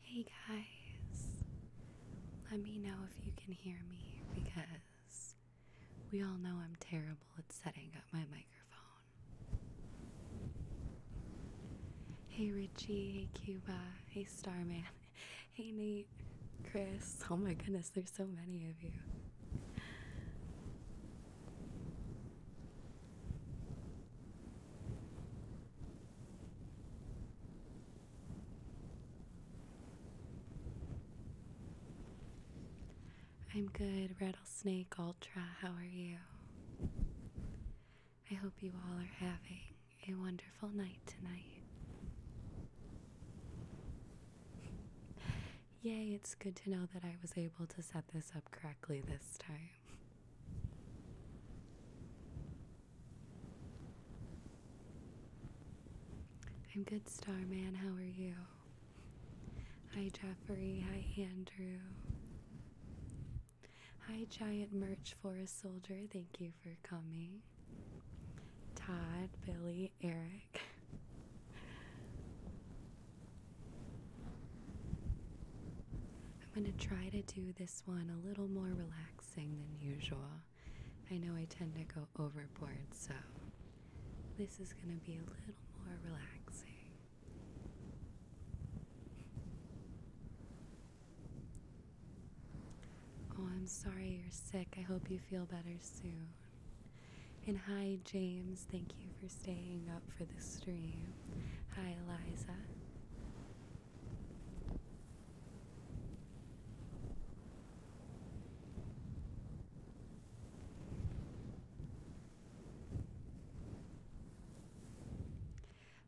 Hey guys, let me know if you can hear me because we all know I'm terrible at setting up my microphone. Hey Richie, hey Cuba, hey Starman, hey Nate, Chris. Oh my goodness, there's so many of you. I'm good, Rattlesnake Ultra. How are you? I hope you all are having a wonderful night tonight. Yay, it's good to know that I was able to set this up correctly this time. I'm good, Starman. How are you? Hi, Jeffrey. Hi, Andrew. Hi, Giant Merch Forest Soldier. Thank you for coming. Todd, Billy, Eric. I'm going to try to do this one a little more relaxing than usual. I know I tend to go overboard, so this is going to be a little more relaxing. Oh, I'm sorry you're sick. I hope you feel better soon. And hi, James. Thank you for staying up for the stream. Hi, Eliza.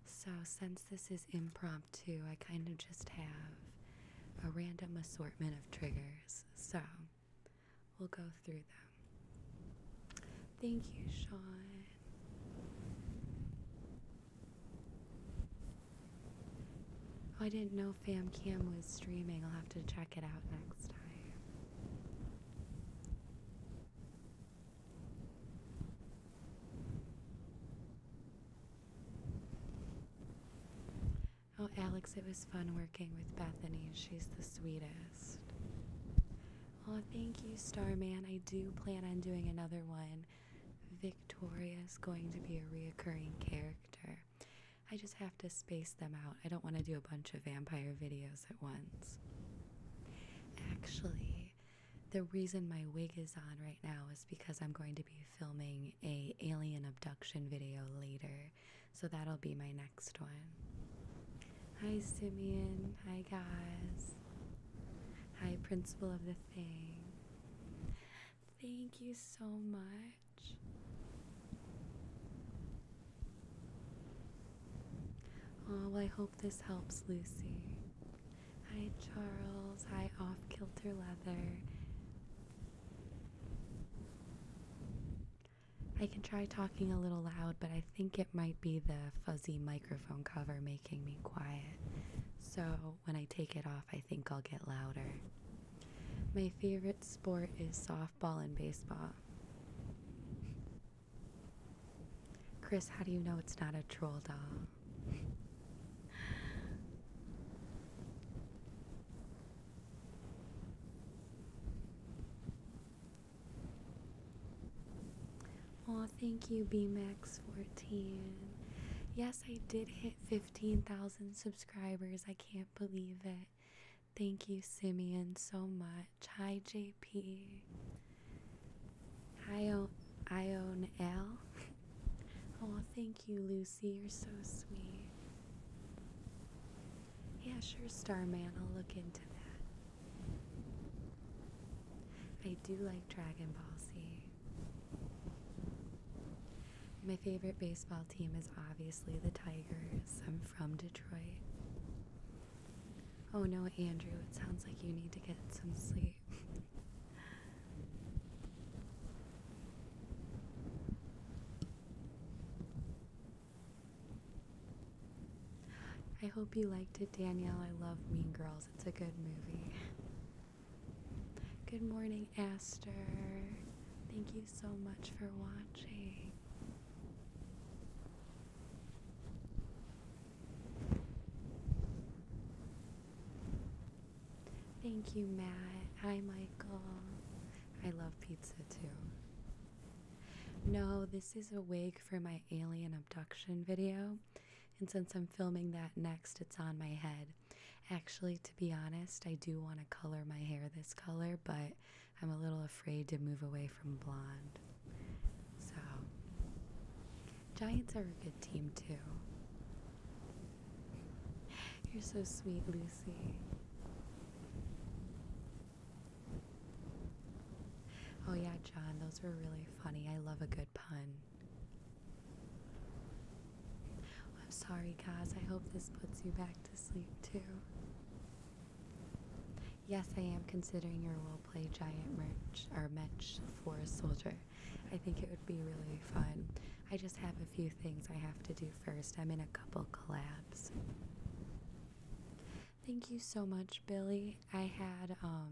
So, since this is impromptu, I kind of just have a random assortment of triggers. So, we'll go through them. Thank you, Sean. Oh, I didn't know Fam Cam was streaming. I'll have to check it out next time. Oh, Alex, it was fun working with Bethany. She's the sweetest. Oh, thank you, Starman. I do plan on doing another one. Victoria's going to be a reoccurring character. I just have to space them out. I don't want to do a bunch of vampire videos at once. Actually, the reason my wig is on right now is because I'm going to be filming a alien abduction video later. So that'll be my next one. Hi Simeon, hi guys. Hi principal of the thing. Thank you so much. Oh, I hope this helps, Lucy. Hi, Charles. Hi, Off Kilter Leather. I can try talking a little loud, but I think it might be the fuzzy microphone cover making me quiet. So when I take it off, I think I'll get louder. My favorite sport is softball and baseball. Chris, how do you know it's not a troll doll? Oh, thank you, BMax14. Yes, I did hit 15,000 subscribers. I can't believe it. Thank you, Simeon, so much. Hi, JP. Hi, o Ion L. oh, thank you, Lucy. You're so sweet. Yeah, sure, Starman. I'll look into that. I do like Dragon Ball Z. My favorite baseball team is obviously the Tigers. I'm from Detroit. Oh no, Andrew, it sounds like you need to get some sleep. I hope you liked it, Danielle. I love Mean Girls. It's a good movie. Good morning, Aster. Thank you so much for watching. Thank you, Matt. Hi, Michael. I love pizza too. No, this is a wig for my alien abduction video. And since I'm filming that next, it's on my head. Actually, to be honest, I do want to color my hair this color, but I'm a little afraid to move away from blonde. So, Giants are a good team too. You're so sweet, Lucy. Oh, yeah, John, those were really funny. I love a good pun. I'm sorry, guys. I hope this puts you back to sleep too. Yes, I am considering your role play giant merch or match for a soldier. I think it would be really fun. I just have a few things I have to do first. I'm in a couple collabs. Thank you so much, Billy. I had um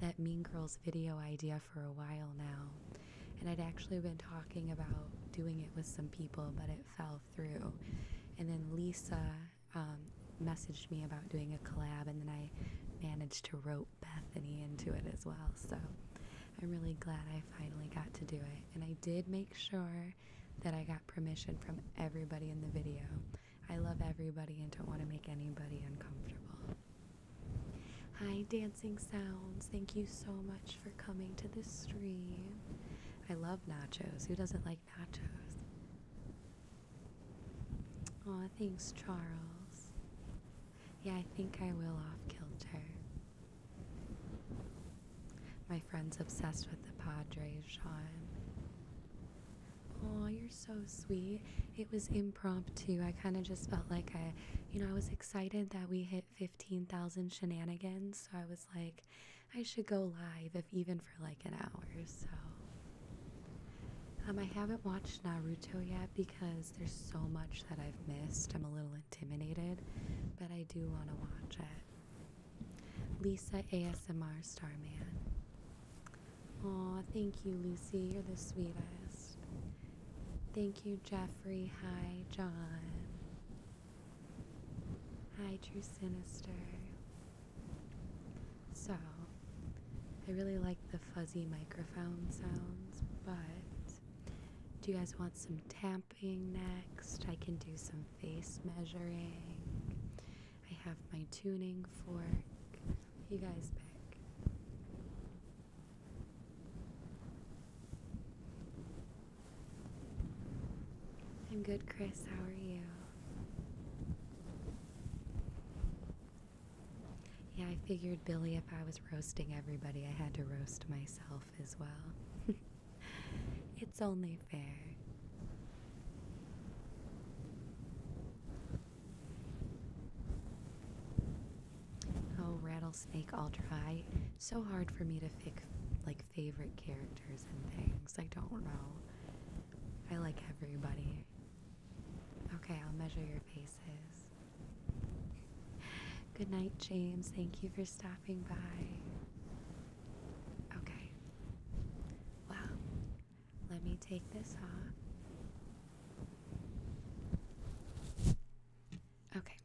that Mean Girls video idea for a while now. And I'd actually been talking about doing it with some people, but it fell through. And then Lisa um, messaged me about doing a collab, and then I managed to rope Bethany into it as well. So I'm really glad I finally got to do it. And I did make sure that I got permission from everybody in the video. I love everybody and don't want to make anybody uncomfortable. Hi, Dancing Sounds. Thank you so much for coming to this stream. I love nachos. Who doesn't like like nachos. Aw, thanks, Charles. Yeah, I think I will off kilter. My friend's obsessed with the Padres, Sean. Oh, you're so sweet. It was impromptu. I kind of just felt like I, you know, I was excited that we hit 15,000 shenanigans. So I was like, I should go live, if even for like an hour. So um, I haven't watched Naruto yet because there's so much that I've missed. I'm a little intimidated, but I do want to watch it. Lisa ASMR Starman. Aw, thank you, Lucy. You're the sweetest. Thank you, Jeffrey. Hi, John. Hi, True Sinister. So, I really like the fuzzy microphone sounds, but do you guys want some tamping next? I can do some face measuring. I have my tuning fork. You guys back. I'm good, Chris. How are you? Yeah, I figured, Billy, if I was roasting everybody, I had to roast myself as well. it's only fair. Oh, Rattlesnake Ultra. I, so hard for me to pick like favorite character and things. I don't know. I like everybody. Okay, I'll measure your faces. Good night, James. Thank you for stopping by. Okay. Well, let me take this off. Okay.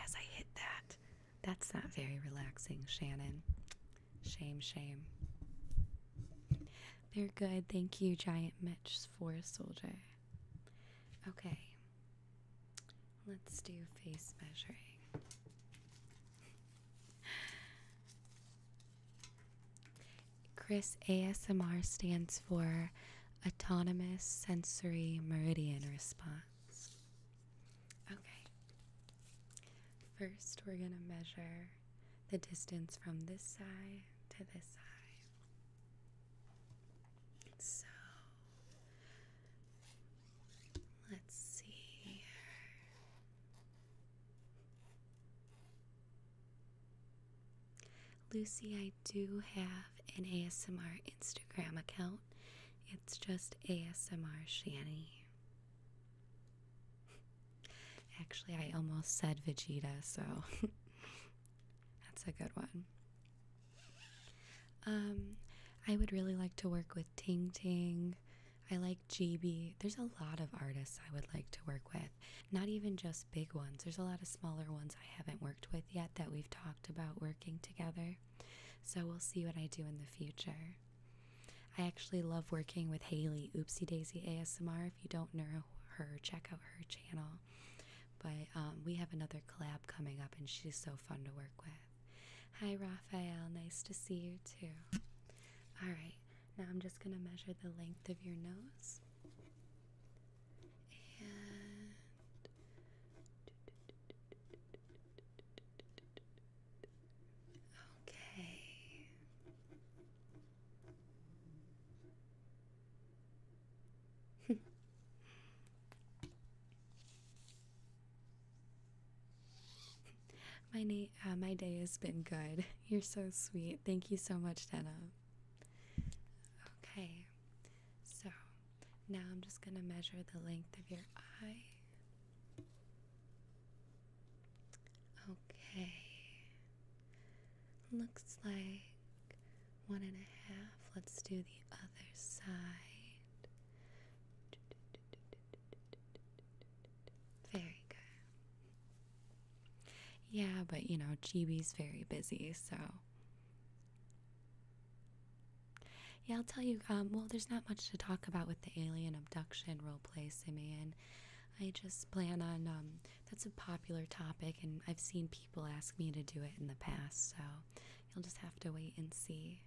As I hit that, that's not very relaxing, Shannon. Shame, shame. They're good. Thank you, Giant Mitch, for soldier. Okay. Let's do face measuring. Chris ASMR stands for Autonomous Sensory Meridian Response. Okay. First, we're going to measure the distance from this side to this side. So, let's see here. Lucy, I do have an ASMR Instagram account. It's just ASMR Shanny. Actually, I almost said Vegeta, so that's a good one. Um, I would really like to work with Ting Ting. I like GB. There's a lot of artists I would like to work with. Not even just big ones. There's a lot of smaller ones I haven't worked with yet that we've talked about working together. So we'll see what I do in the future. I actually love working with Haley, Oopsie Daisy ASMR. If you don't know her, check out her channel. But um, we have another collab coming up, and she's so fun to work with. Hi, Raphael. Nice to see you too. All right, now I'm just going to measure the length of your nose. Okay. my na uh, my day has been good. You're so sweet. Thank you so much, Dana. Okay. So, now I'm just going to measure the length of your eye. Okay. Looks like one and a half. Let's do the other side. Very good. Yeah, but you know, Chibi's very busy, so yeah, I'll tell you. Um, well, there's not much to talk about with the alien abduction roleplay, Simeon. I just plan on. Um, that's a popular topic, and I've seen people ask me to do it in the past, so you'll just have to wait and see.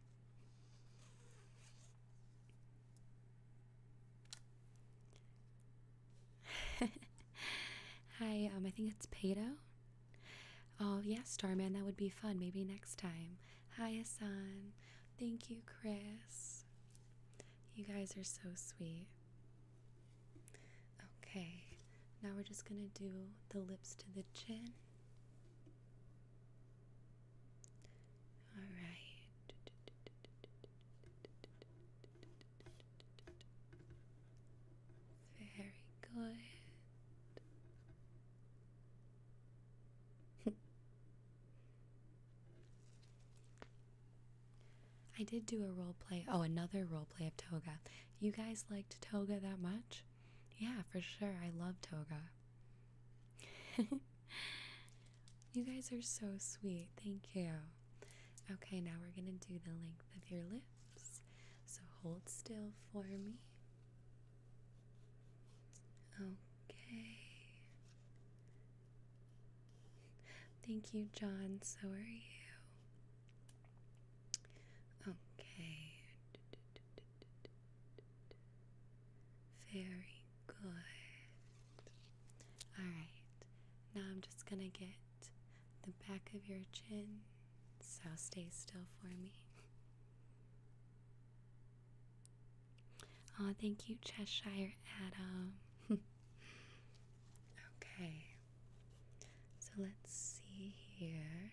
Hi, um, I think it's Pato. Oh, yeah, Starman, that would be fun. Maybe next time. Hi, Hassan. Thank you, Chris. You guys are so sweet. Okay, now we're just going to do the lips to the chin. All right. Very good. I did do a role play. Oh, another role play of Toga. You guys liked Toga that much? Yeah, for sure. I love Toga. you guys are so sweet. Thank you. Okay, now we're going to do the length of your lips. So hold still for me. Okay. Thank you, John. So are you. Okay. Very good. Alright, now I'm just gonna get the back of your chin, so stay still for me. Oh, thank you, Cheshire Adam. okay. So let's see here.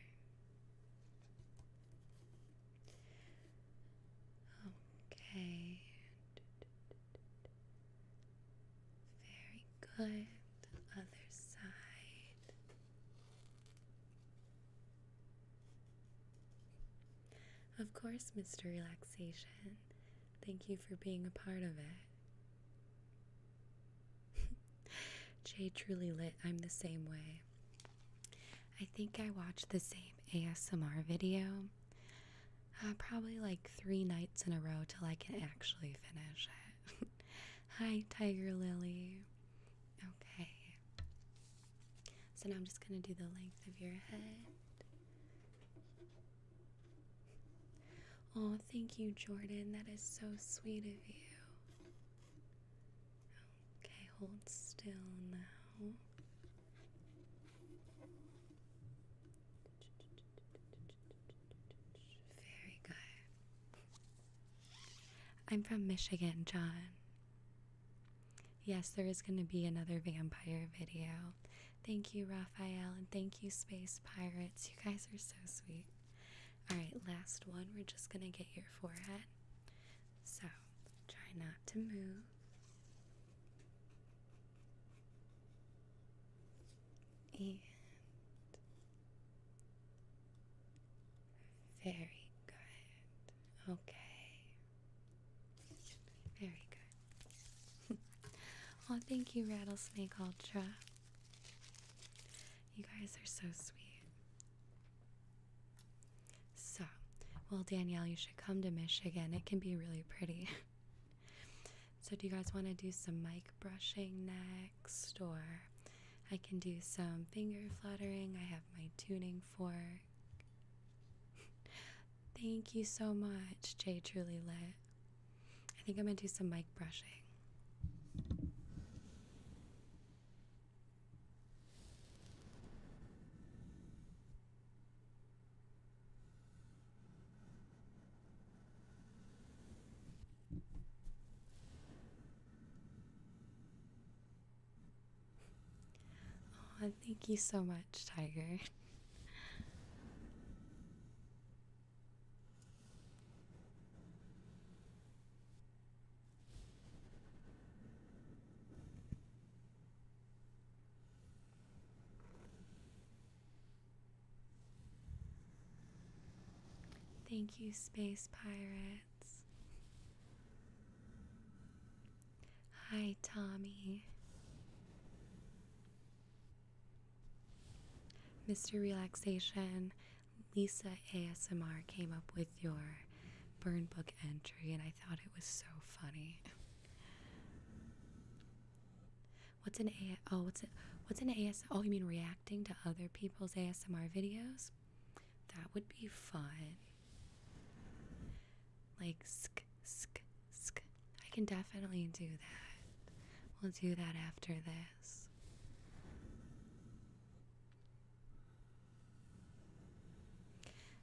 Okay. Very good. other side. Of course, Mr. Relaxation. Thank you for being a part of it. Jay truly lit. I'm the same way. I think I watched the same ASMR video uh, probably like three nights in a row till I can actually finish it. Hi, Tiger Lily. Okay. So now I'm just going to do the length of your head. Oh, thank you, Jordan. That is so sweet of you. Okay, hold still now. Very good. I'm from Michigan, John. Yes, there is going to be another vampire video. Thank you, Raphael, and thank you, Space Pirates. You guys are so sweet. Alright, last one. We're just going to get your forehead. So, try not to move. And very good. Okay. Very good. oh, thank you, Rattlesnake Ultra. You guys are so sweet. So, well, Danielle, you should come to Michigan. It can be really pretty. so, do you guys want to do some mic brushing next? Or I can do some finger fluttering. I have my tuning fork. Thank you so much, Jay Truly Lit. I think I'm going to do some mic brushing. Oh, thank you so much, Tiger. Thank you, Space Pirates. Hi, Tommy. Mr. Relaxation, Lisa ASMR came up with your burn book entry, and I thought it was so funny. What's an A? Oh, what's it? What's an AS? Oh, you mean reacting to other people's ASMR videos? That would be fun. Like sk sk sk. I can definitely do that. We'll do that after this.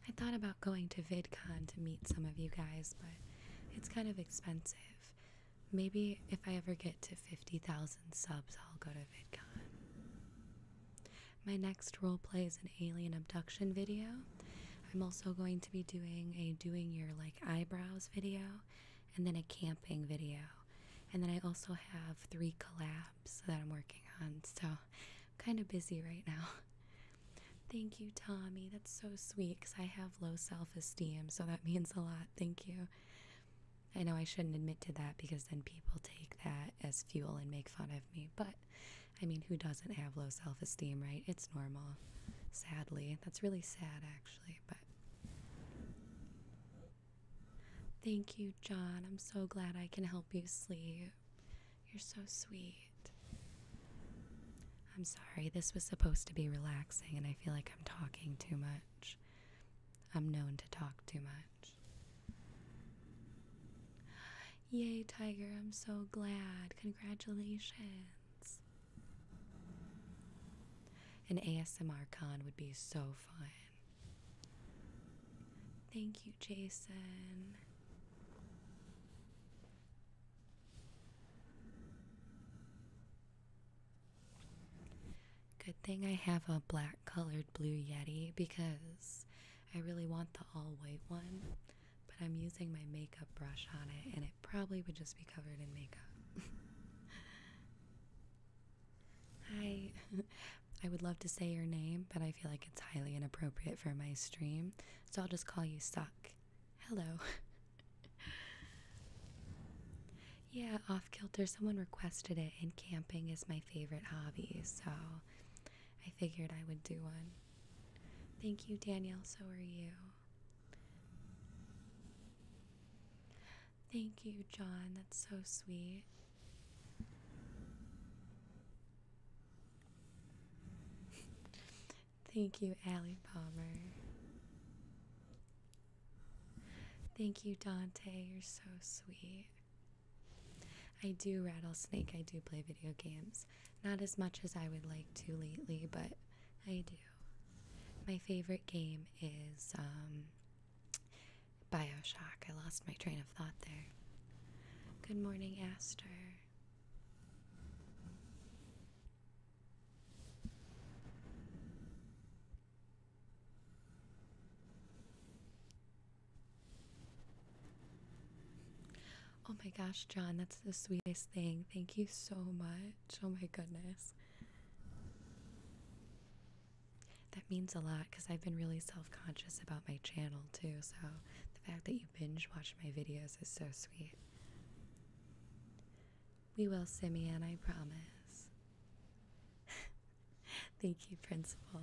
I thought about going to VidCon to meet some of you guys, but it's kind of expensive. Maybe if I ever get to 50,000 subs, I'll go to VidCon. My next role play is an alien abduction video. I'm also going to be doing a doing your like eyebrows video and then a camping video. And then I also have three collabs that I'm working on. So I'm kind of busy right now. Thank you, Tommy. That's so sweet because I have low self esteem. So that means a lot. Thank you. I know I shouldn't admit to that because then people take that as fuel and make fun of me, but I mean, who doesn't have low self esteem, right? It's normal. Sadly, that's really sad actually, but Thank you, John. I'm so glad I can help you sleep. You're so sweet. I'm sorry, this was supposed to be relaxing, and I feel like I'm talking too much. I'm known to talk too much. Yay, Tiger, I'm so glad. Congratulations. An ASMR con would be so fun. Thank you, Jason. Good thing I have a black colored blue Yeti because I really want the all white one, but I'm using my makeup brush on it, and it probably would just be covered in makeup. Hi. I would love to say your name, but I feel like it's highly inappropriate for my stream, so I'll just call you Suck. Hello. yeah, off kilter. Someone requested it, and camping is my favorite hobby, so I figured I would do one. Thank you, Danielle. So are you. Thank you, John. That's so sweet. Thank you, Allie Palmer. Thank you, Dante. You're so sweet. I do rattlesnake. I do play video games. Not as much as I would like to lately, but I do. My favorite game is um, Bioshock. I lost my train of thought there. Good morning, Aster. Oh my gosh, John, that's the sweetest thing. Thank you so much. Oh my goodness. That means a lot because I've been really self conscious about my channel too. So the fact that you binge watch my videos is so sweet. We will, Simeon, I promise. Thank you, Principal.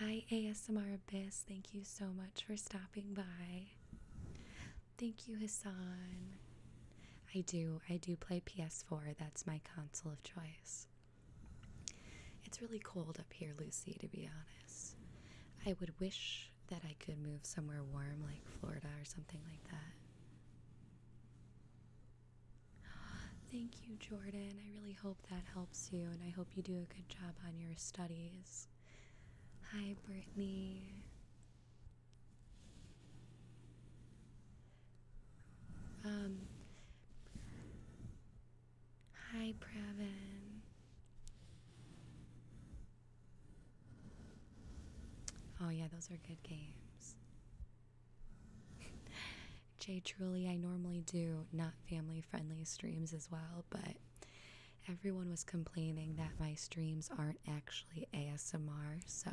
Hi, ASMR Abyss. Thank thank you so much for stopping by. Thank you, Hassan. I do. I do play PS4. That's my console of choice. It's really cold up here, Lucy, to be honest. I would wish that I could move somewhere warm like Florida or something like that. Thank you, Jordan. I really hope that helps you, and I hope you do a good job on your studies. Hi, Brittany. Um, hi, Pravin. Oh, yeah, those are good games. Jay, truly, I normally do not family friendly streams as well, but everyone was complaining that my streams aren't actually ASMR, so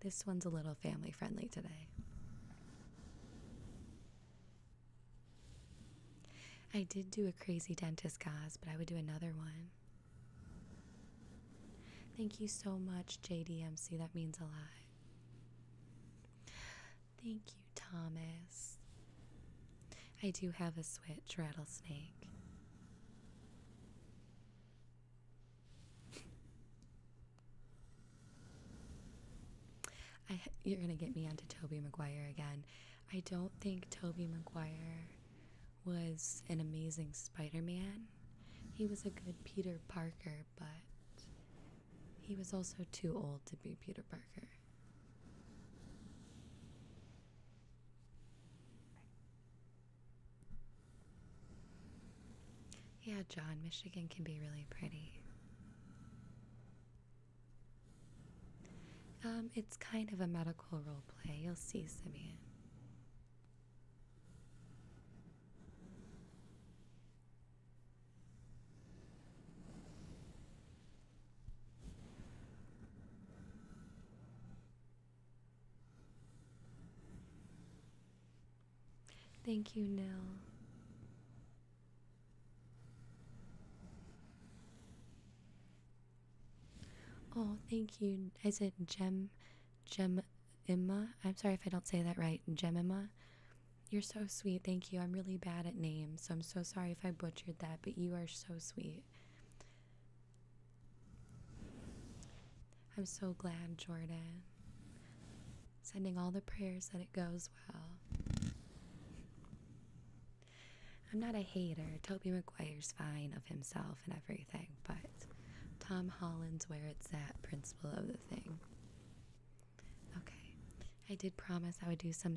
this one's a little family friendly today. I did do a crazy dentist gauze, but I would do another one. Thank you so much, JDMC. That means a lot. Thank you. Thomas. I do have a switch, Rattlesnake. you're going to get me onto Toby Maguire again. I don't think Toby Maguire was an amazing Spider-Man. He was a good Peter Parker, but he was also too old to be Peter Parker. Yeah, John, Michigan can be really pretty. Um, it's kind of a medical role play. You'll see, Simeon. Thank you, Nell. Oh, thank you. Is it Gem, Gem, Emma? I'm sorry if I don't say that right. Gemima. You're so sweet. Thank you. I'm really bad at names, so I'm so sorry if I butchered that, but you are so sweet. I'm so glad, Jordan. Sending all the prayers that it goes well. I'm not a hater. Toby McGuire's fine of himself and everything, but Tom Holland's where it's at principle of the thing. Okay, I did promise I would do some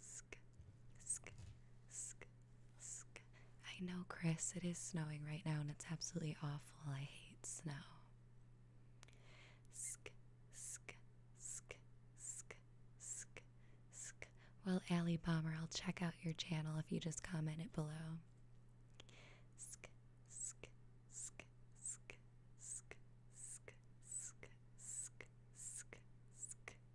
sk, sk, sk, sk. I know, Chris, it is snowing right now and it's absolutely awful. I hate snow. Sk, sk, sk, sk, sk, sk. Well, Allie Bomber, I'll check out your channel if you just comment it below. sk, sk, sk, sk, sk, sk, sk, sk, sk, sk.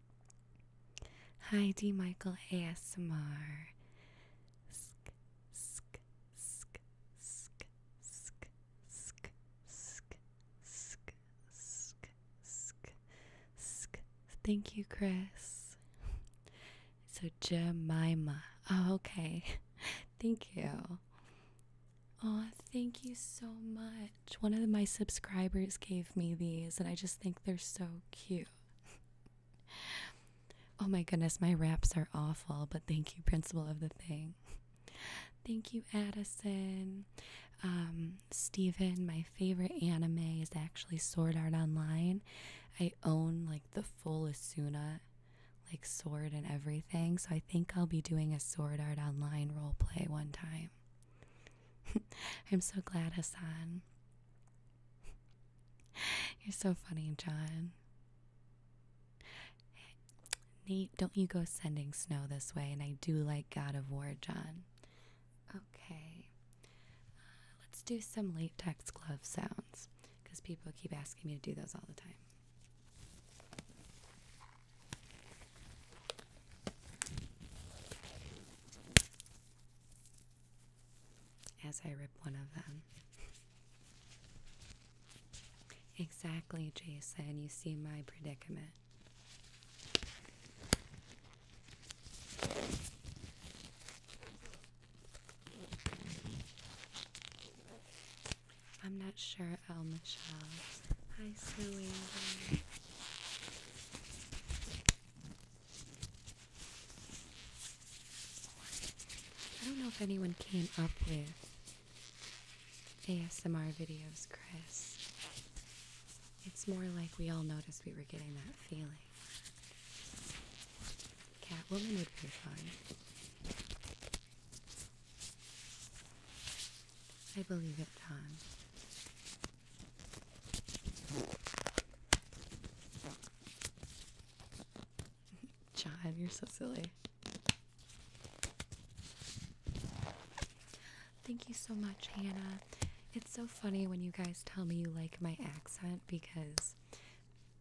Hi, D. Michael ASMR. Sk, sk, sk, sk, sk, sk, sk, sk, sk, sk, sk. Thank you, Chris. So Jemima. Oh, okay. Thank you. Oh, thank you so much. One of my subscribers gave me these, and I just think they're so cute. oh my goodness, my raps are awful, but thank you, principal of the thing. Thank you, Addison. Um, Steven, my favorite anime is actually Sword Art Online. I own like the full Asuna, like sword and everything, so I think I'll be doing a Sword Art Online roleplay one time. I'm so glad, Hassan. You're so funny, John. Nate, don't you go sending snow this way, and I do like God of War, John. Okay. Uh, let's do some latex glove sounds because people keep asking me to do those all the time as I rip one of them. exactly, Jason. You see my predicament. I'm not sure, El Michelle. Hi, Sue. I don't know if anyone came up with ASMR videos, Chris. It's more like we all noticed we were getting that feeling. woman would be fun. I believe it, Tom. John, you're so silly. Thank you so much, Hannah. It's so funny when you guys tell me you like my accent because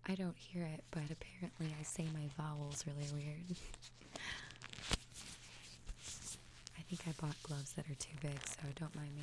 I don't hear it, but apparently I say my vowels really weird. I think I bought gloves that are too big, so don't mind me.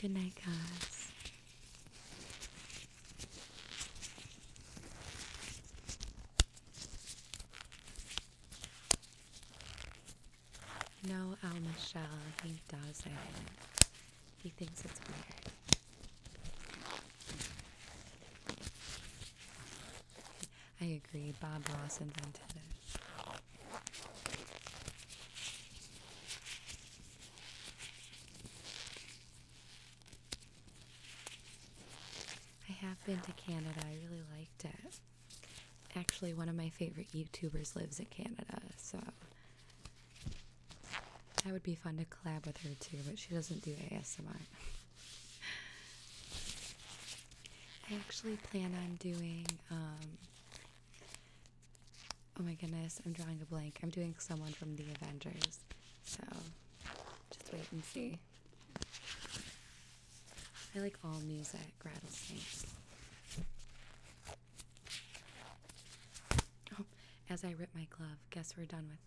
Good night, guys. No, Al Michelle, he does not He thinks it's weird. I agree, Bob Ross invented it. I have been to Canada. I really liked it. Actually, one of my favorite YouTubers lives in Canada, so that would be fun to collab with her too, but she doesn't do ASMR. I actually plan on doing um, Oh my goodness, I'm drawing a blank. I'm doing someone from the Avengers. So just wait and see. I like all music, rattlesnakes. Oh, as I rip my glove, guess we're done with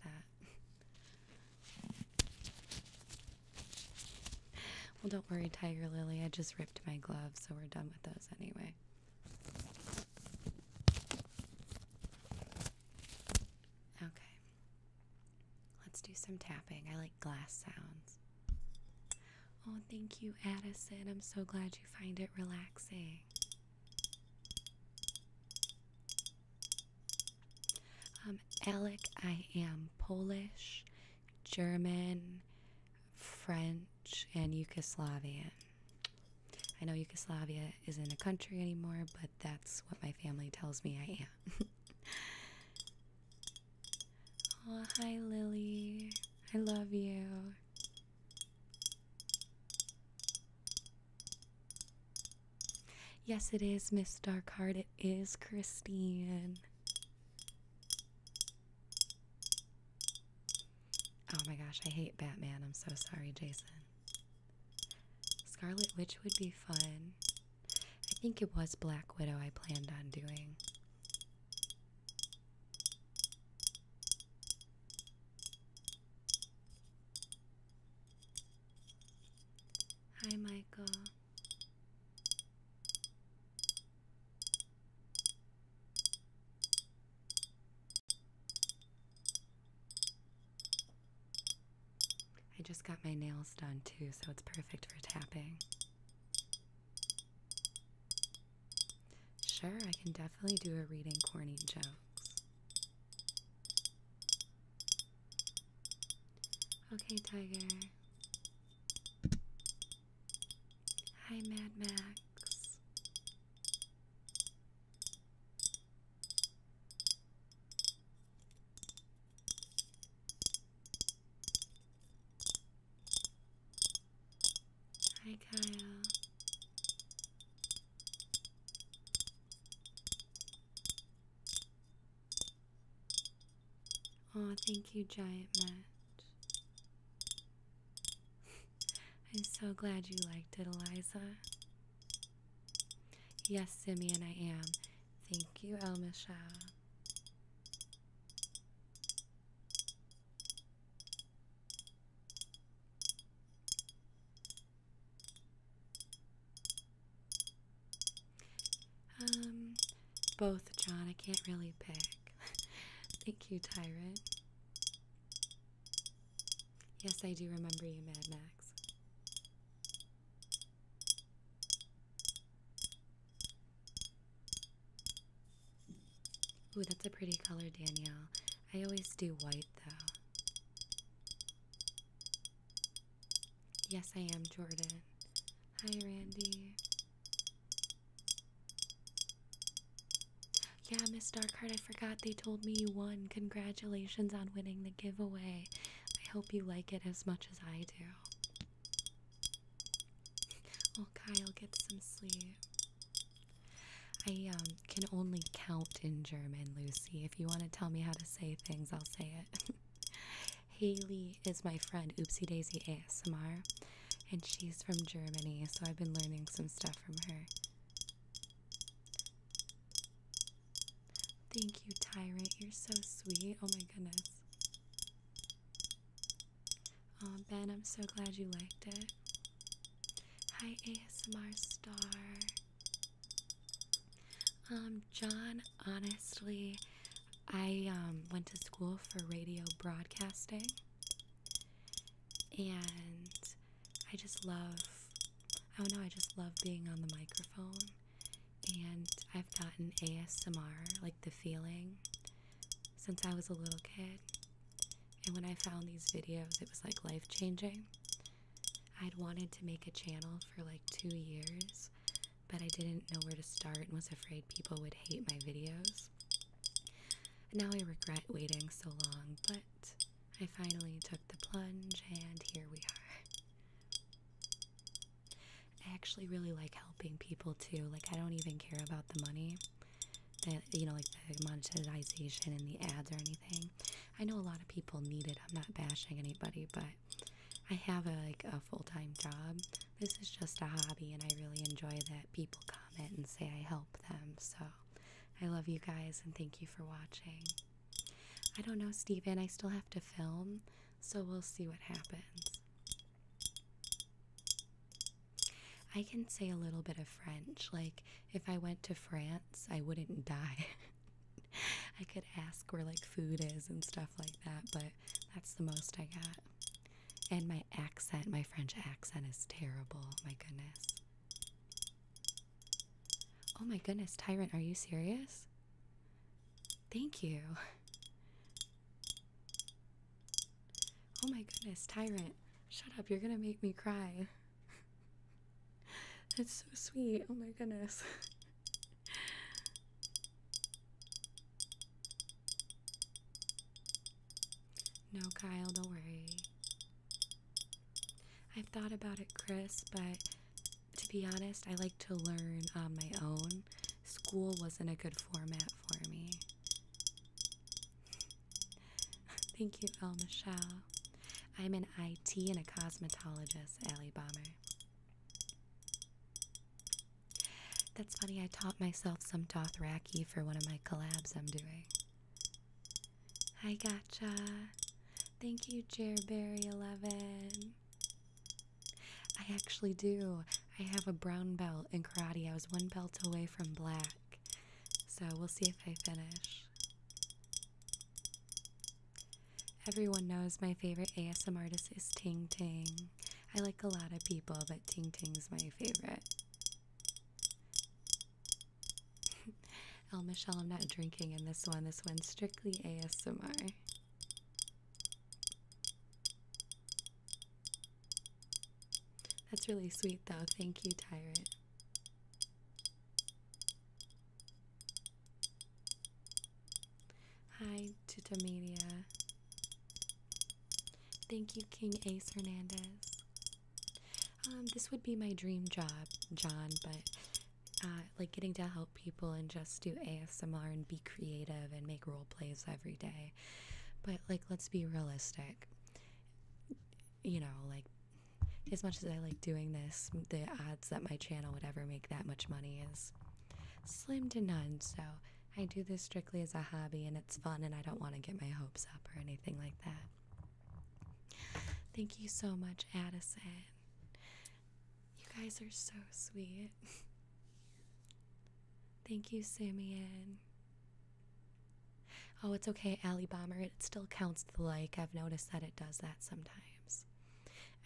that. well, don't worry, Tiger Lily. I just ripped my glove, so we're done with those anyway. Okay. Let's do some tapping. I like glass sounds. Oh, thank you, Addison. I'm so glad you find it relaxing. Um, Alec, I am Polish, German, French, and Yugoslavian. I know Yugoslavia isn't a country anymore, but that's what my family tells me I am. oh, hi, Lily. I love you. Yes, it is, Miss Darkheart. It is Christine. Oh my gosh, I hate Batman. I'm so sorry, Jason. Scarlet Witch would be fun. I think it was Black Widow I planned on doing. Hi, Michael. I just got my nails done too, so it's perfect for tapping. Sure, I can definitely do a reading corny jokes. Okay, Tiger. Hi, Mad Max. Hi, Kyle. Oh, thank you, Giant Match. I'm so glad you liked it, Eliza. Yes, Simeon, I am. Thank you, Elmisha. Um, both, John. I can't really pick. Thank you, Tyrant. Yes, I do remember you, Mad Max. Ooh, that's a pretty color, Danielle. I always do white, though. Yes, I am, Jordan. Hi, Randy. Yeah, Miss Darkheart, I forgot they told me you won. Congratulations on winning the giveaway. I hope you like it as much as I do. Well, Kyle, get some sleep. I um, can only count in German, Lucy. If you want to tell me how to say things, I'll say it. Haley is my friend, Oopsie Daisy ASMR, and she's from Germany, so I've been learning some stuff from her. Thank you, Tyrant. You're so sweet. Oh my goodness. Oh, Ben, I'm so glad you liked it. Hi, ASMR Star. Um, John, honestly, I um, went to school for radio broadcasting and I just love I oh don't know, I just love being on the microphone and I've gotten ASMR, like the feeling, since I was a little kid. And when I found these videos, it was like life changing. I'd wanted to make a channel for like two years, but I didn't know where to start and was afraid people would hate my videos. Now I regret waiting so long, but I finally took the plunge, and here we are. I actually really like helping people too. Like, I don't even care about the money that you know, like the monetization and the ads or anything. I know a lot of people need it. I'm not bashing anybody, but I have like a full-time job. This is just a hobby, and I really enjoy that people comment and say I help them. So I love you guys and thank you for watching. I don't know, Steven. I still have to film, so we'll see what happens. I can say a little bit of French. Like, if I went to France, I wouldn't die. I could ask where, like, food is and stuff like that, but that's the most I got. And my accent, my French accent is terrible. My goodness. Oh my goodness, Tyrant, are you serious? Thank you. Oh my goodness, Tyrant, shut up, you're gonna make me cry. That's so sweet, oh my goodness. No, Kyle, don't worry. I've thought about it, Chris, but to be honest, I like to learn on my own. School wasn't a good format for me. Thank you, El Michelle. I'm an IT and a cosmetologist, Ali Bomber. That's funny, I taught myself some Dothraki for one of my collabs I'm doing. I gotcha. Thank you, Jerberry11. I actually do. I have a brown belt in karate. I was one belt away from black. So we'll see if I finish. Everyone knows my favorite ASM artist is Ting Ting. I like a lot of people, but Ting Ting's my favorite. El Michelle, I'm not drinking in this one. This one's strictly ASMR. That's really sweet, though. Thank you, Tyrant. Hi, Tutamedia. Thank you, King Ace Hernandez. Um, this would be my dream job, John, but uh, like getting to help people and just do ASMR and be creative and make role plays every day. But like, let's be realistic. You know, like as much as I like doing this, the odds that my channel would ever make that much money is slim to none. So I do this strictly as a hobby and it's fun, and I don't want to get my hopes up or anything like that. Thank you so much, Addison. You guys are so sweet. Thank you, Simeon. Oh, it's okay, Ali Bomber. It still counts the like. I've noticed that it does that sometimes.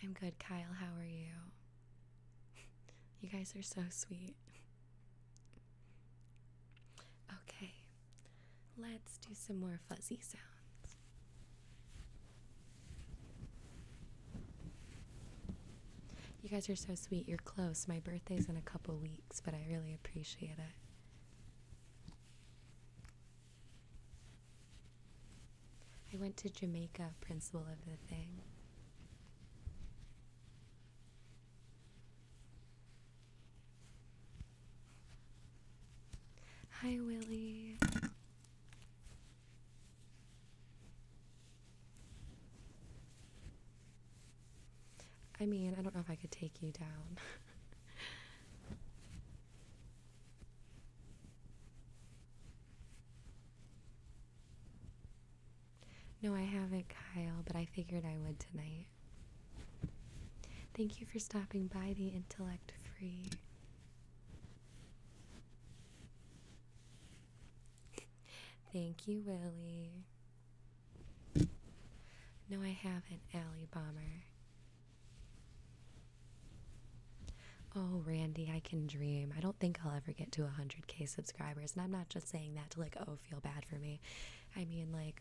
I'm good, Kyle. How are you? You guys are so sweet. Okay, Let's do some more fuzzy sounds. You guys are so sweet. You're close. My birthday's in a couple weeks, but I really appreciate it. I went to Jamaica, principal of the thing. Hi, Willie. I mean, I don't know if I could take you down. no, I haven't, Kyle, but I figured I would tonight. Thank you for stopping by the Intellect Free. Thank you, Willie. No, I have an Alley Bomber. Oh, Randy, I can dream. I don't think I'll ever get to 100k subscribers. And I'm not just saying that to, like, oh, feel bad for me. I mean, like,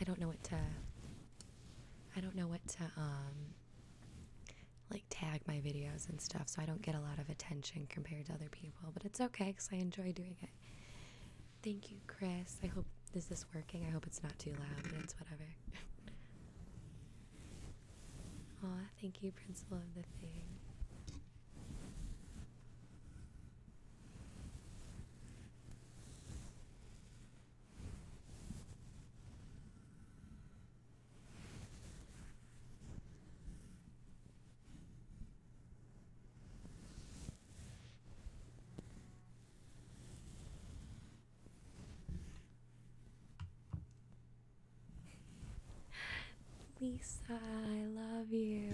I don't know what to I don't know what to um like tag my videos and stuff, so I don't get a lot of attention compared to other people, but it's okay cuz I enjoy doing it. Thank you, Chris. I hope this is working? I hope it's not too loud, but it's whatever. Aw, thank you, Principal of the Thing. Lisa, I love you.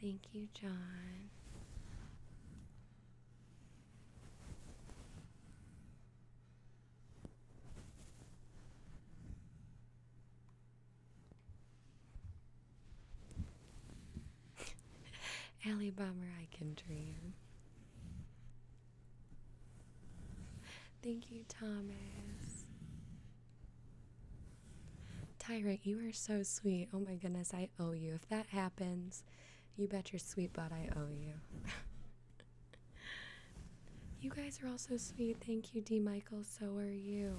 Thank you, John. Ali Bomber, I can dream. Thank you, Thomas. Tyrant, you are so sweet. Oh my goodness, I owe you. If that happens, you bet your sweet butt I owe you. you guys are all so sweet. Thank you, D. Michael. So are you.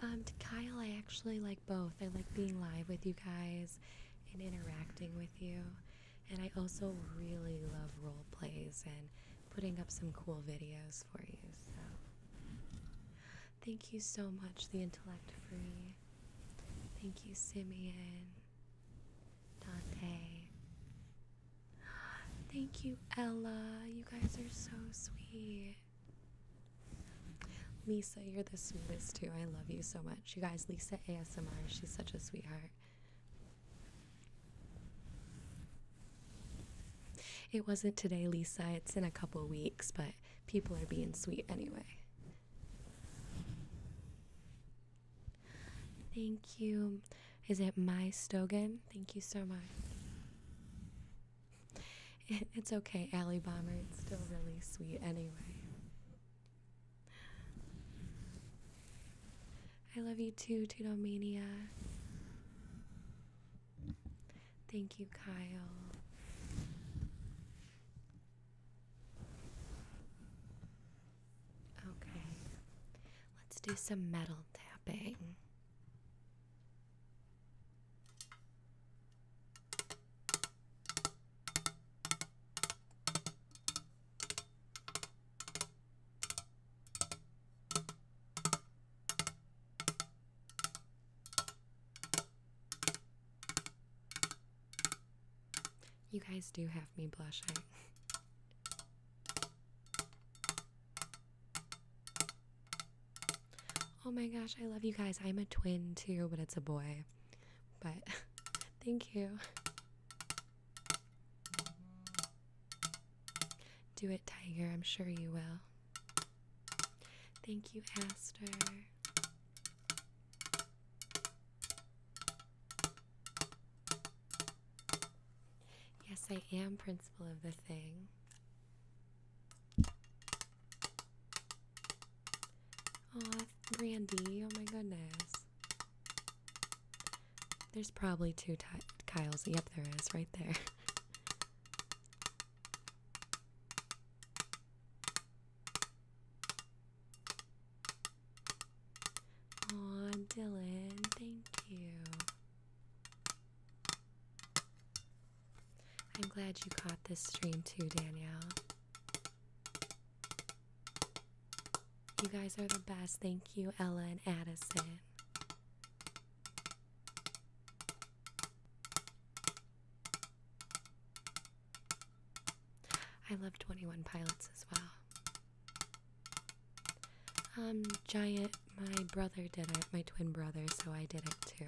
Um, to Kyle, I actually like both. I like being live with you guys and interacting with you. And I also really love role plays and putting up some cool videos for you. So thank you so much, The Intellect Free. Thank you, Simeon, Dante. Thank you, Ella. You guys are so sweet. Lisa, you're the sweetest too. I love you so much. You guys, Lisa ASMR, she's such a sweetheart. It wasn't today, Lisa. It's in a couple weeks, but people are being sweet anyway. Thank you. Is it my Stogan? Thank you so much. it's okay, Ali Bomber. It's still really sweet anyway. I love you too, Tudomania. Thank you, Kyle. Okay, let's do some metal tapping. You guys do have me blushing. oh my gosh, I love you guys. I'm a twin too, but it's a boy but thank you. Do it, Tiger. I'm sure you will. Thank you, Aster. Yes, I am principal of the thing. Oh, Brandy. Oh my goodness. There's probably two Kyles. Yep, there is. Right there. Aw, Dylan. Thank you. I'm glad you caught this stream too, Danielle. You guys are the best. Thank you, Ella and Addison. I love 21 Pilots as well. Um, Giant, my brother did it, my twin brother, so I did it too.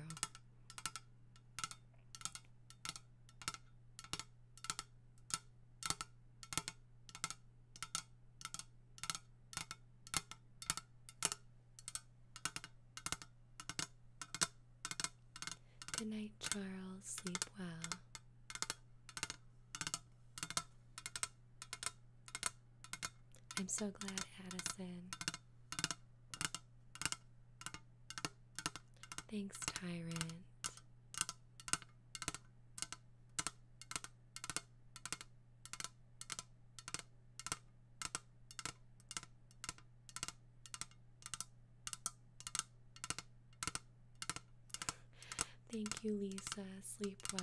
Good night, Charles. Sleep well. I'm so glad, Addison. Thanks, Tyrant. Thank you, Lisa. Sleep well.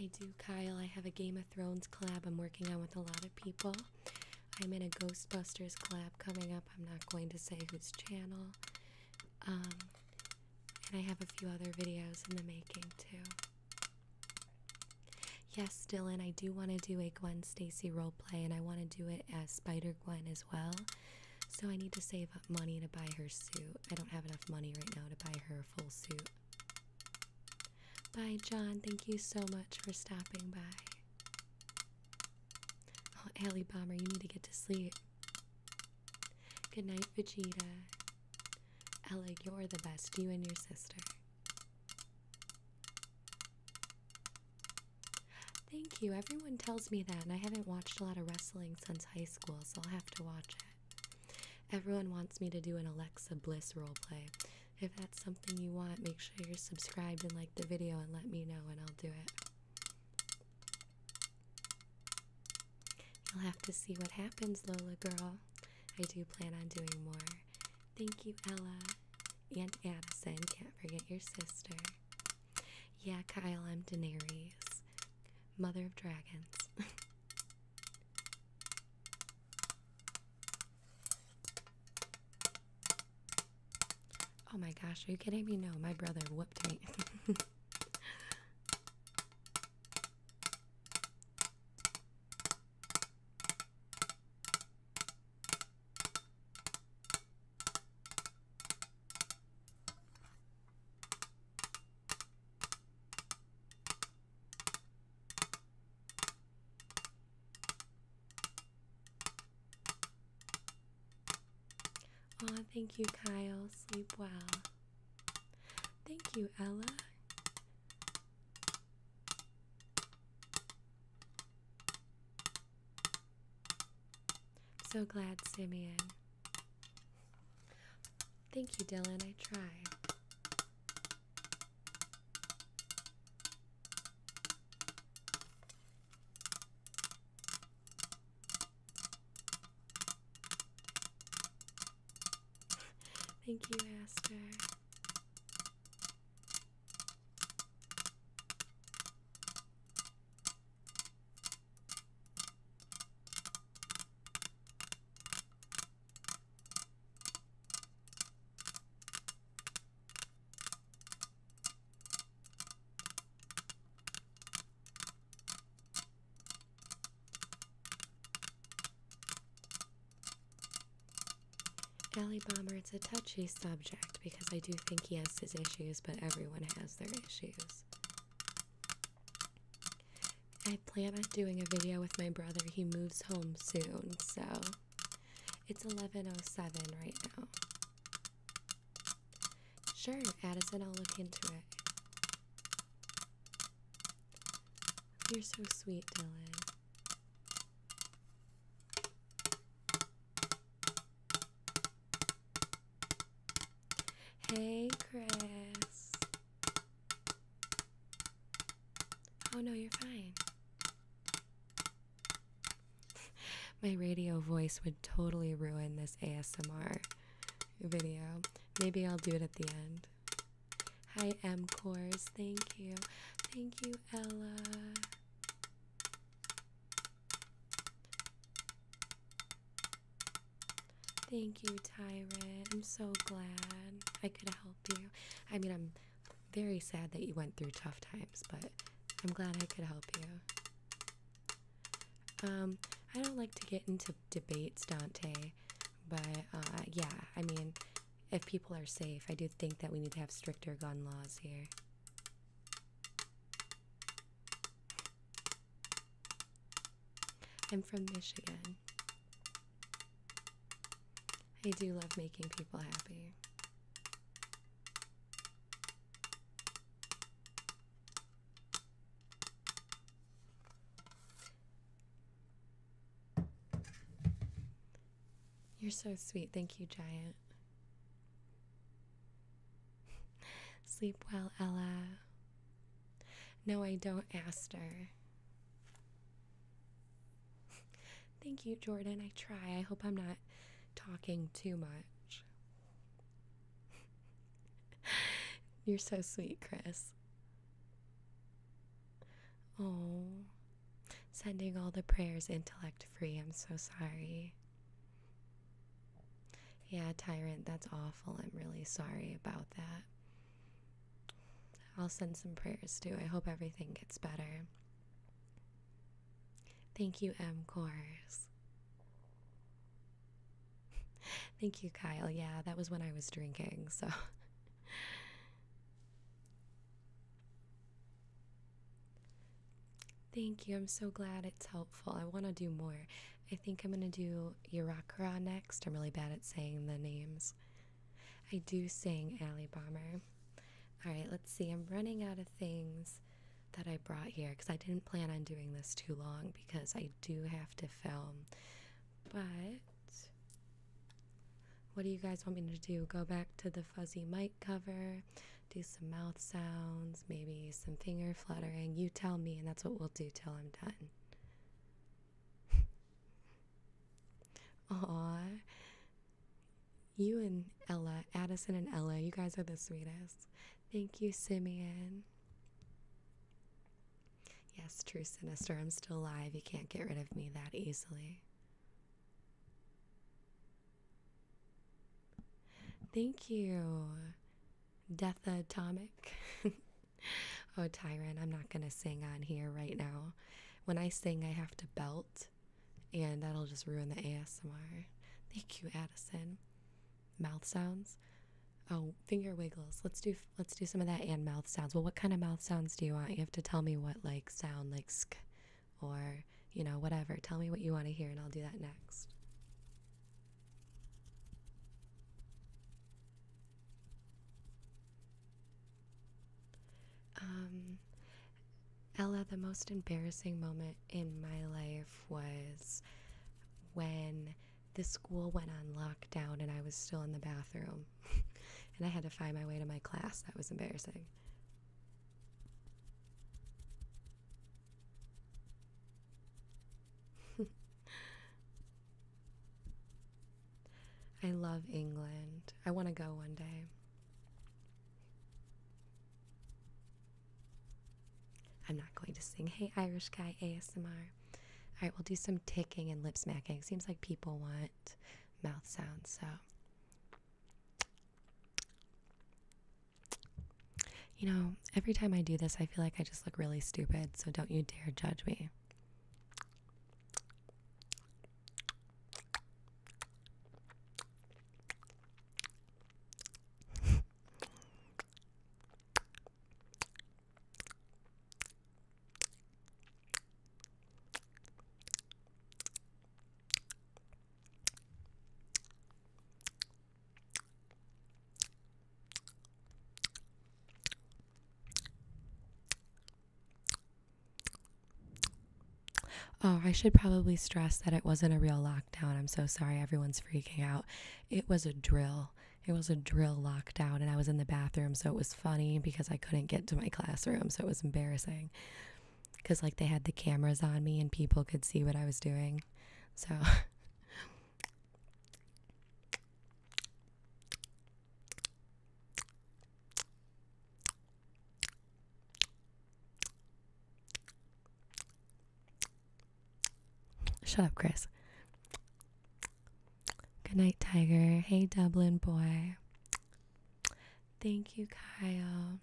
I do, Kyle. I have a Game of Thrones collab I'm working on with a lot of people. I'm in a Ghostbusters collab coming up I'm not going to say whose channel. Um, and I have a few other videos in the making too. Yes, Dylan, I do want to do a Gwen Stacy roleplay, and I want to do it as Spider Gwen as well. So I need to save up money to buy her suit. I don't have enough money right now to buy her full suit. Bye, John. Thank you so much for stopping by. Oh, Alley Bomber, you need to get to sleep. Good night, Vegeta. Alec, you're the best, you and your sister. Thank you. Everyone tells me that, and I haven't watched a lot of wrestling since high school, so I'll have to watch it. Everyone wants me to do an Alexa Bliss roleplay. If that's something you want, make sure you're subscribed and like the video and let me know, and I'll do it. You'll have to see what happens, Lola girl. I do plan on doing more. Thank you, Ella. Aunt Addison, can't forget your sister. Yeah, Kyle, I'm Daenerys, mother of dragons. Oh my gosh, are you kidding me? No, my brother whooped me. Aw, thank you, Kyle. Sleep well. Thank you, Ella. So glad, Simeon. Thank you, Dylan. I tried. Thank you, Aster. Ali Bomber, it's a touchy subject because I do think he has his issues, but everyone has their issues. I plan on doing a video with my brother. He moves home soon, so it's 11:07 right now. Sure, Addison, I'll look into it. You're so sweet, Dylan. Hey, Chris. Oh no, you're fine. My radio voice would totally ruin this ASMR video. Maybe I'll do it at the end. Hi, M Cores. Thank you. Thank you, Ella. Thank you, Tyrant. I'm so glad I could help you. I mean, I'm very sad that you went through tough times, but I'm glad I could help you. Um, I don't like to get into debates, Dante, but uh, yeah, I mean, if people are safe, I do think that we need to have stricter gun laws here. I'm from Michigan. I do love making people happy. You're so sweet. Thank you, Giant. Sleep well, Ella. No, I don't, Aster. Thank you, Jordan. I try. I hope I'm not talking too much. You're so sweet, Chris. Oh, sending all the prayers intellect free. I'm so sorry. Yeah, Tyrant, that's awful. I'm really sorry about that. I'll send some prayers too. I hope everything gets better. Thank you, M. Course. Thank you, Kyle. Yeah, that was when I was drinking, so. Thank you. I'm so glad it's helpful. I want to do more. I think I'm going to do Irakara next. I'm really bad at saying the names. I do sing Ali Bomber. All right, let's see. I'm running out of things that I brought here because I didn't plan on doing this too long because I do have to film. But what do you guys want me to do? Go back to the fuzzy mic cover, do some mouth sounds, maybe some finger fluttering. You tell me, and that's what we'll do till I'm done. Aw, you and Ella, Addison and Ella, you guys are the sweetest. Thank you, Simeon. Yes, true sinister. I'm still alive. You can't get rid of me that easily. Thank you, Death Atomic. oh, Tyrant, I'm not going to sing on here right now. When I sing, I have to belt, and that'll just ruin the ASMR. Thank you, Addison mouth sounds. Oh, finger wiggles. Let's do let's do some of that and mouth sounds. Well, what kind of mouth sounds do you want? You have to tell me what like sound like sk or, you know, whatever. Tell me what you want to hear and I'll do that next. Um Ella, the most embarrassing moment in my life was when the school went on lockdown and I was still in the bathroom and I had to find my way to my class. That was embarrassing. I love England. I want to go one day. I'm not going to sing Hey Irish Guy ASMR. Alright, we'll do some ticking and lip smacking. Seems like people want mouth sounds, so. You know, every time I do this, I feel like I just look really stupid, so don't you dare judge me. Oh, I should probably stress that it wasn't a real lockdown. I'm so sorry everyone's freaking out. It was a drill. It was a drill lockdown, and I was in the bathroom, so it was funny because I couldn't get to my classroom, so it was embarrassing. Because, like, they had the cameras on me and people could see what I was doing. So. Shut up, Chris. Good night, Tiger. Hey, Dublin boy. Thank you, Kyle.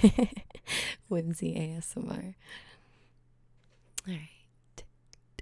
Whimsy ASMR. All right.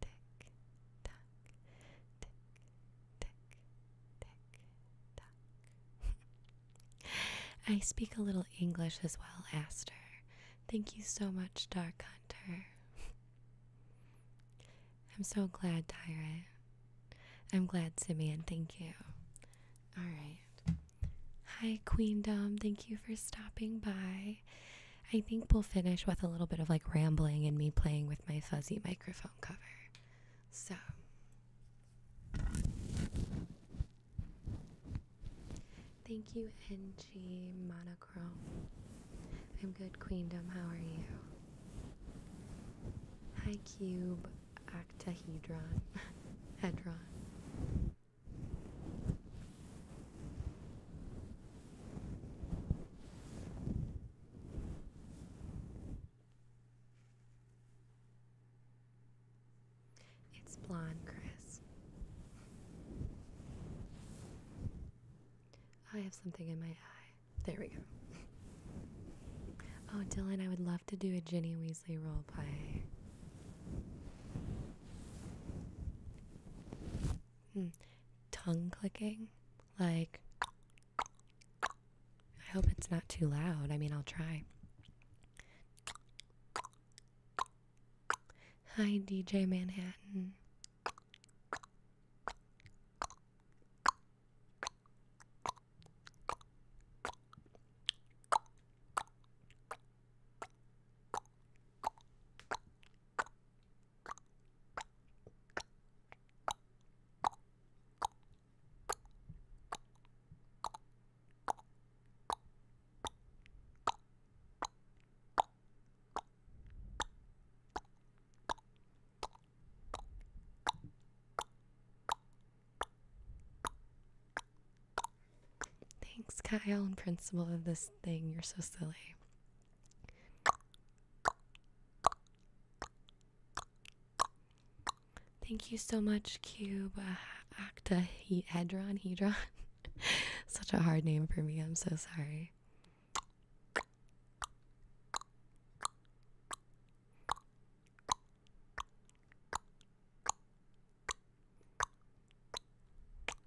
tick, tack, tick, tick, tick, tack. I speak a little English as well, Aster. Thank you so much, Dark Hunter. I'm so glad, Tyrant. I'm glad, Simeon. Thank you. All right. Hi, Queen Dom. Thank you for stopping by. I think we'll finish with a little bit of like rambling and me playing with my fuzzy microphone cover. So, thank you, NG Monochrome. I'm good, Queendom. How are you? Hi, Cube Octahedron. Hedron. It's blonde, Chris. I have something in my eye. There we go. Oh, Dylan, I would love to do a Ginny Weasley roleplay. Hmm tongue clicking. Like, I hope it's not too loud. I mean, I'll try. Hi, DJ Manhattan. Thanks, Kyle and principal of this thing. You're so silly. Thank you so much, Cube uh, Octahedron Hedron. Such a hard name for me. I'm so sorry.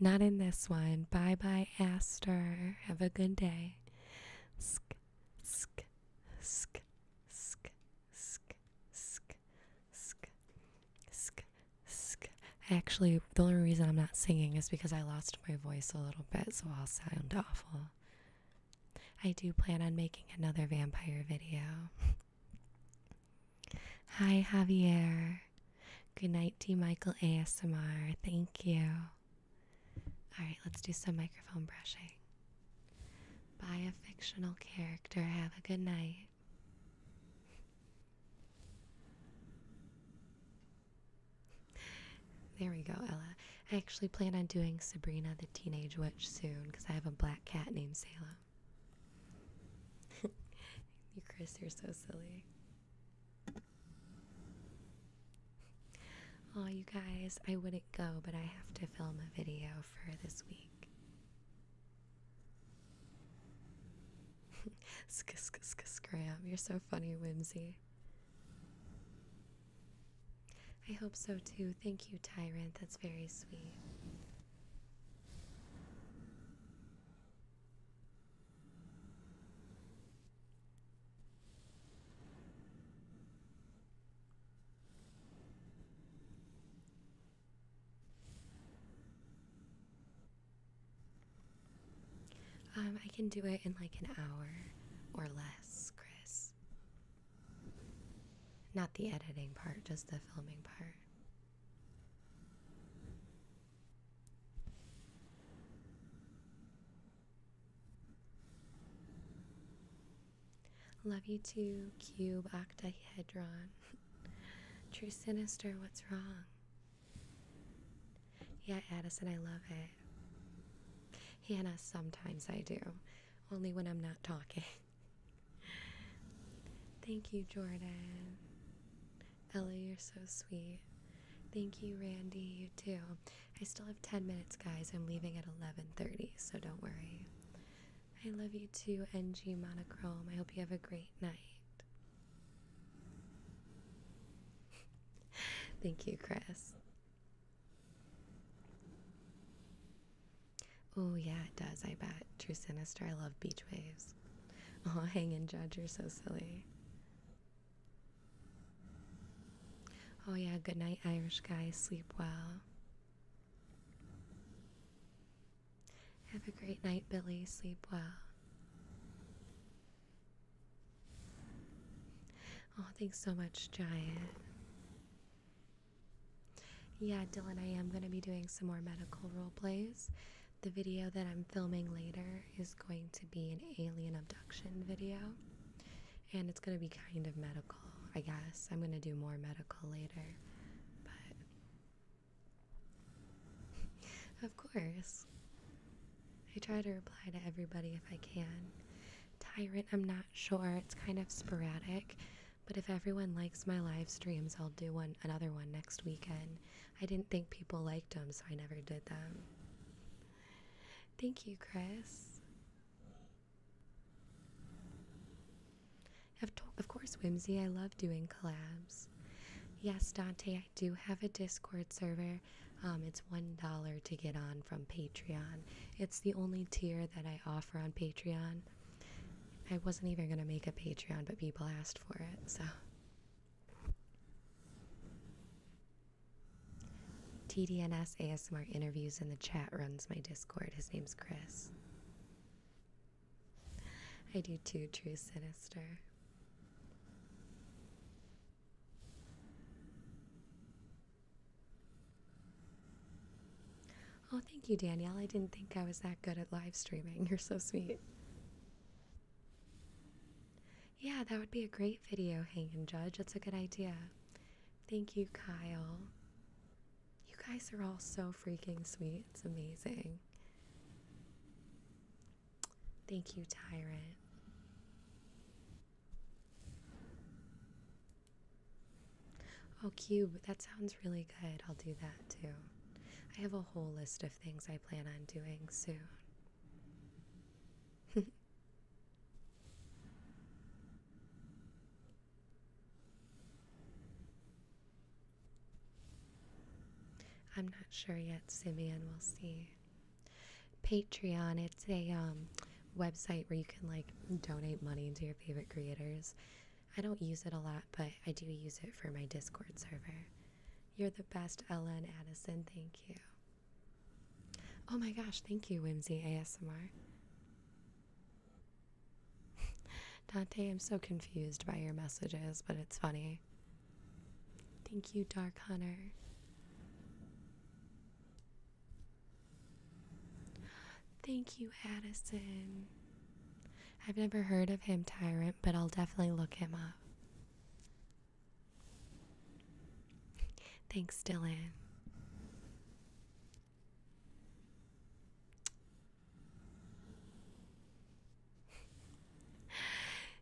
Not in this one. Bye bye, Aster. Have a good day. Sk, sk, sk, sk, sk, sk, sk, sk, sk. Actually, the only reason I'm not singing is because I lost my voice a little bit, so I'll sound awful. I do plan on making another vampire video. Hi, Javier. Good night, D. Michael ASMR. Thank you. All right, let's do some microphone brushing. By a fictional character. Have a good night. There we go, Ella. I actually plan on doing Sabrina the Teenage Witch soon because I have a black cat named Salem. you, Chris, you're so silly. Oh, you guys, I wouldn't go, but I have to film a video for this week. sk sk sk scram. You're so funny, Whimsy. I hope so too. Thank you, Tyrant. That's very sweet. Um, I can do it in like an hour or less, Chris. Not the editing part, just the filming part. Love you too, cube octahedron. True sinister, what's wrong? Yeah, Addison, I love it. Hannah, sometimes I do. Only when I'm not talking. Thank you, Jordan. Ellie, you're so sweet. Thank you, Randy. You too. I still have 10 minutes, guys. I'm leaving at 11:30, so don't worry. I love you too, NG Monochrome. I hope you have a great night. Thank you, Chris. Oh, yeah, it does. I bet. True Sinister. I love beach waves. Oh, hang in, Judge. You're so silly. Oh, yeah, good night, Irish guys. Sleep well. Have a great night, Billy. Sleep well. Oh, thanks so much, Giant. Yeah, Dylan, I am going to be doing some more medical role plays. The video that I'm filming later is going to be an alien abduction video, and it's going to be kind of medical, I guess. I'm going to do more medical later, but of course, I try to reply to everybody if I can. Tyrant, I'm not sure, it's kind of sporadic. But if everyone likes my live streams, I'll do one another one next weekend. I didn't think people liked them, so I never did them. Thank you, Chris. Of, course, Whimsy, I love doing collabs. Yes, Dante, I do have a Discord server. Um, it's $1 to get on from Patreon. It's the only tier that I offer on Patreon. I wasn't even going to make a Patreon, but people asked for it, so. TDNS ASMR interviews in the chat runs my Discord. His name's Chris. I do too, True Sinister. Oh, thank you, Danielle. I didn't think I was that good at live streaming. You're so sweet. Yeah, that would be a great video, Hang and Judge. That's a good idea. Thank you, Kyle. You guys are all so freaking sweet. It's amazing. Thank you, Tyrant. Oh, Cube, that sounds really good. I'll do that too. I have a whole list of things I plan on doing soon. I'm not sure yet, Simeon. We'll see. Patreon, it's a um, website where you can like donate money to your favorite creators. I don't use it a lot, but I do use it for my Discord server. You're the best, Ellen Addison. Thank you. Oh my gosh, thank you, Whimsy ASMR. Dante, I'm so confused by your messages, but it's funny. Thank you, Dark Hunter. Thank you, Addison. I've never heard of him, Tyrant, but I'll definitely look him up. Thanks, Dylan.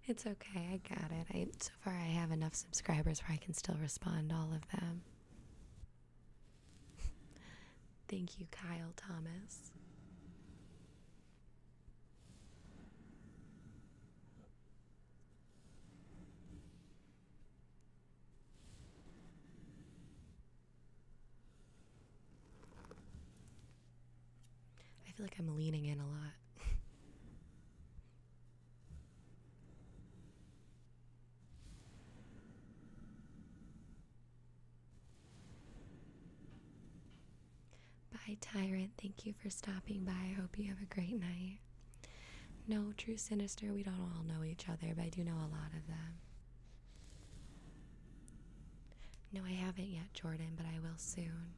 it's okay, I got it. I so far I have enough subscribers where I can still respond all of them. Thank you, Kyle Thomas. I feel like I'm leaning in a lot. Bye, Tyrant. Thank you for stopping by. I hope you have a great night. No, True Sinister, we don't all know each other, but I do know a lot of them. No, I haven't yet, Jordan, but I will soon.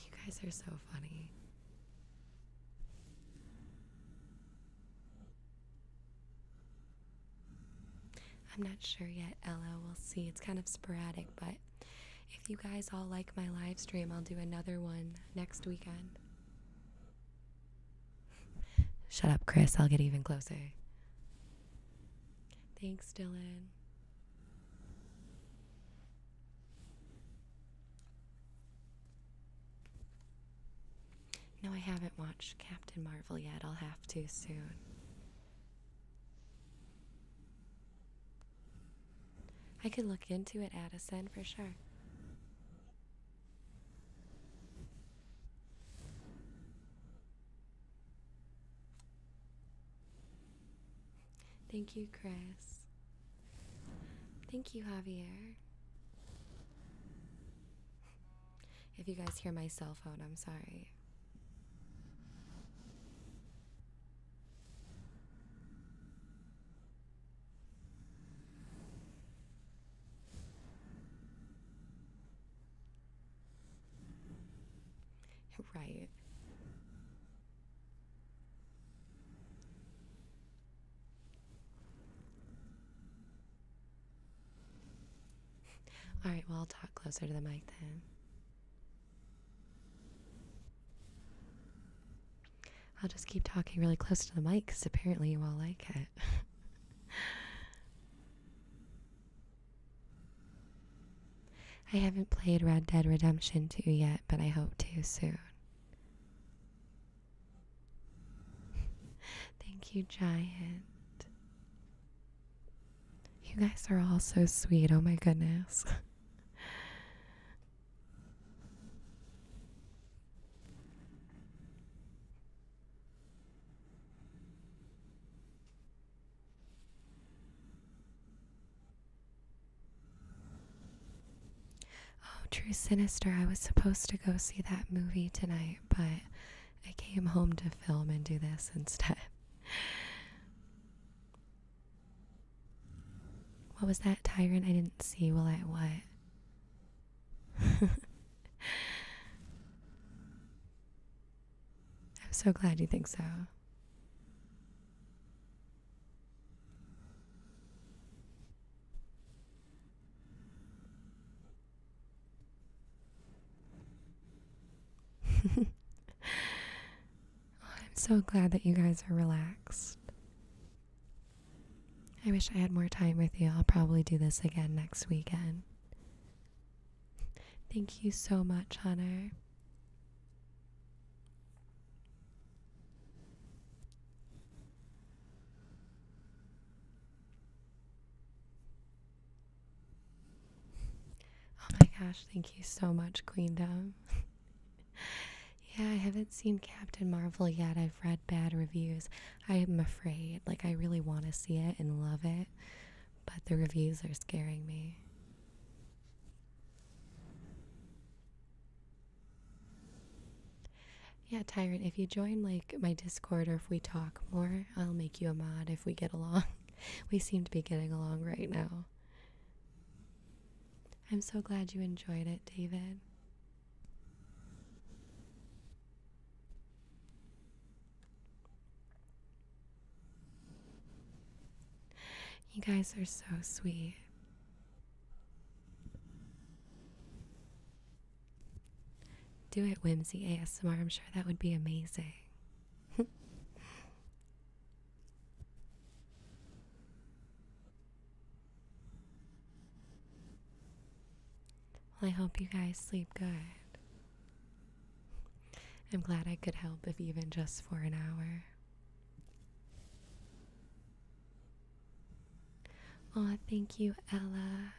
You guys are so funny. I'm not sure yet, Ella. We'll see. It's kind of sporadic, but if you guys all like my live stream, I'll do another one next weekend. Shut up, Chris. I'll get even closer. Thanks, Dylan. No, I haven't watched Captain Marvel yet. I'll have to soon. I could look into it, Addison, for sure. Thank you, Chris. Thank you, Javier. If you guys hear my cell phone, I'm sorry. Right. All right, well, I'll talk closer to the mic then. I'll just keep talking really close to the mic because apparently you all like it. I haven't played Red Dead Redemption 2 yet, but I hope to soon. Thank you, Giant. You guys are all so sweet. Oh my goodness. oh, True Sinister. I was supposed to go see that movie tonight, but I came home to film and do this instead. What was that tyrant? I didn't see. Well, I what? I'm so glad you think so. I'm so glad that you guys are relaxed. I wish I had more time with you. I'll probably do this again next weekend. Thank you so much, honey. Oh my gosh, thank you so much, Queen Queendom. yeah, I haven't seen Captain Marvel yet. I've read bad reviews. I am afraid. Like, I really want to see it and love it, but the reviews are scaring me. Yeah, Tyrant, if you join like my Discord or if we talk more, I'll make you a mod if we get along. we seem to be getting along right now. I'm so glad you enjoyed it, David. You guys are so sweet. Do it, Whimsy ASMR. I'm sure that would be amazing well, I hope you guys sleep good. I'm glad I could help, if even just for an hour. Aw, thank you, Ella.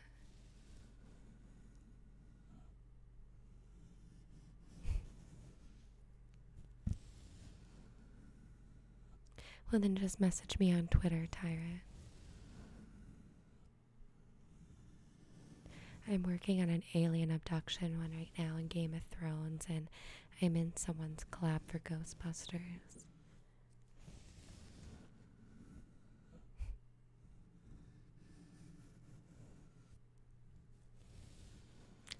Well, then just message me on Twitter, Tyra. I'm working on an alien abduction one right now in Game of Thrones, and I'm in someone's collab for Ghostbusters.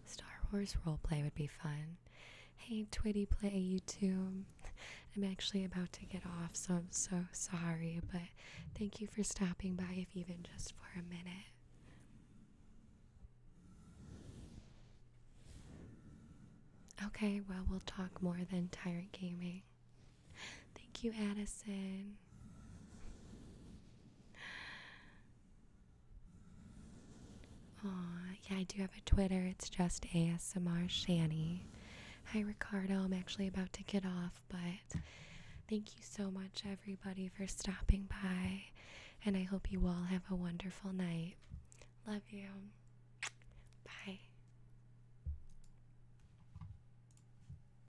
Star Wars roleplay would be fun. Hey, Twitty Play YouTube. I'm actually about to get off, so I'm so sorry, but thank you for stopping by, if even just for a minute. Okay, well, we'll talk more than Tyrant Gaming. Thank you, Addison. Aw, yeah, I do have a Twitter. It's just ASMR Shani. Hi, Ricardo. I'm actually about to get off, but thank you so much, everybody, for stopping by. And I hope you all have a wonderful night. Love you. Bye.